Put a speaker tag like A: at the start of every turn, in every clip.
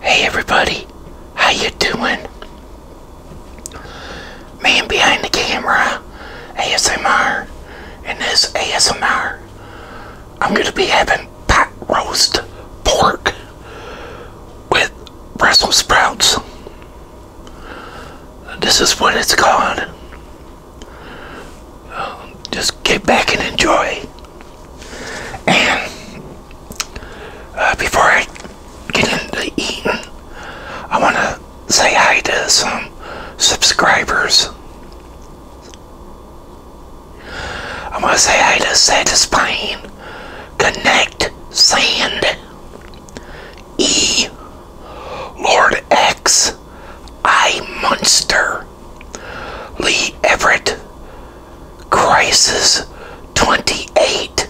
A: Hey everybody, how you doing? Man behind the camera, ASMR, and this ASMR, I'm gonna be having pot roast pork with Brussels sprouts. This is what it's called. just get back and enjoy. And uh, before I get into eating, I want to say hi to some subscribers. I want to say hi to Satisfying Connect Sand E Lord X I Munster Lee Everett Crisis 28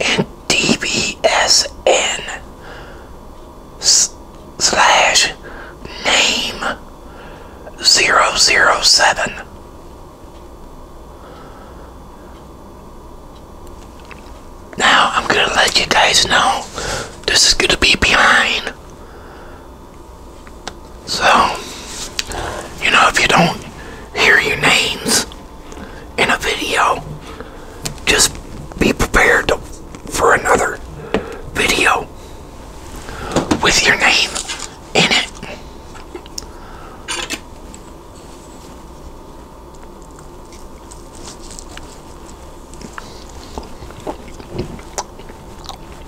A: and DBSN slash name 007. Now I'm going to let you guys know this is going to be behind so, you know, if you don't hear your names in a video, just be prepared for another video with your name in it.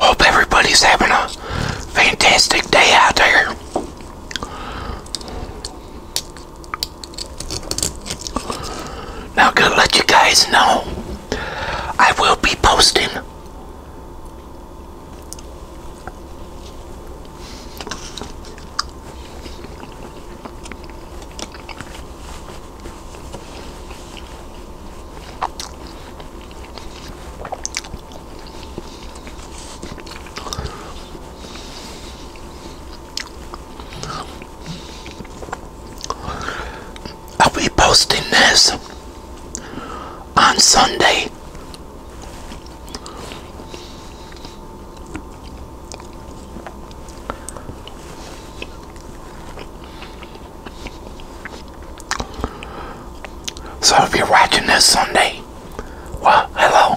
A: Hope everybody's having a fantastic day out there. Now, I'm gonna let you guys know I will be posting I'll be posting this on Sunday. So if you're watching this Sunday, well, hello.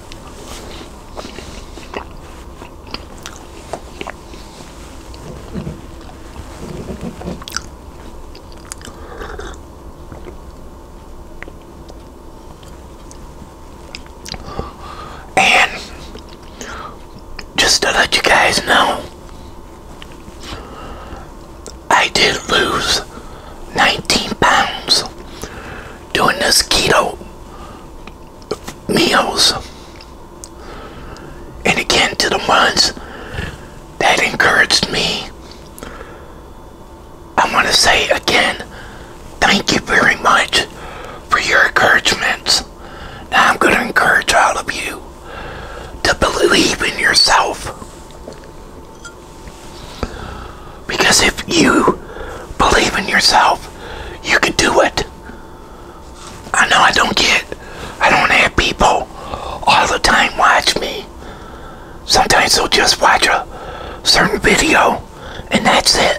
A: And just to let you guys know, I did lose 19 pounds doing this keto meals. And again, to the ones that encouraged me, I want to say again, thank you very much for your encouragement. Now I'm going to encourage all of you to believe in yourself. Because if you believe in yourself, you can do it. I know I don't get, I don't have people all the time watch me. Sometimes they'll just watch a certain video and that's it.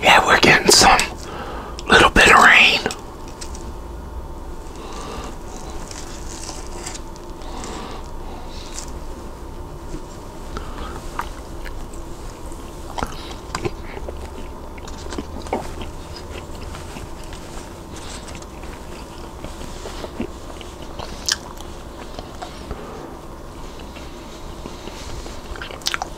A: Yeah, we're getting some little bit of rain.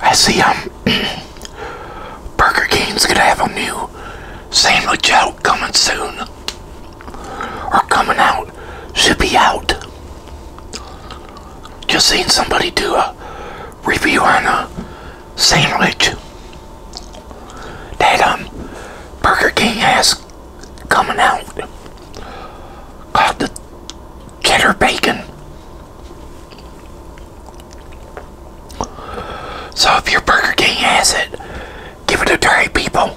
A: I see um Burger King's gonna have a new sandwich out coming soon. Or coming out. Should be out. Just seen somebody do a review on a sandwich that um Burger King has coming out called the cheddar bacon. So if your Burger King has it, give it a try, people.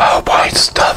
A: Oh boy, it's stuffed.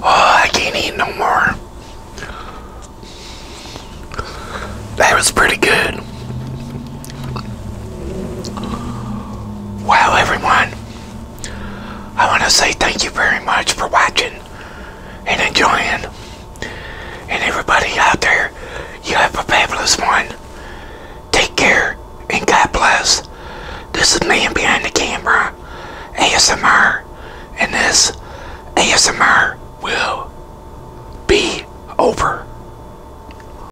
A: Oh, I can't eat no more. That was pretty good. Well, everyone, I want to say thank you very much for watching and enjoying. And everybody out there, you have a fabulous one. Take care and God bless. This is Man Behind the Camera, ASMR, and this ASMR will be over.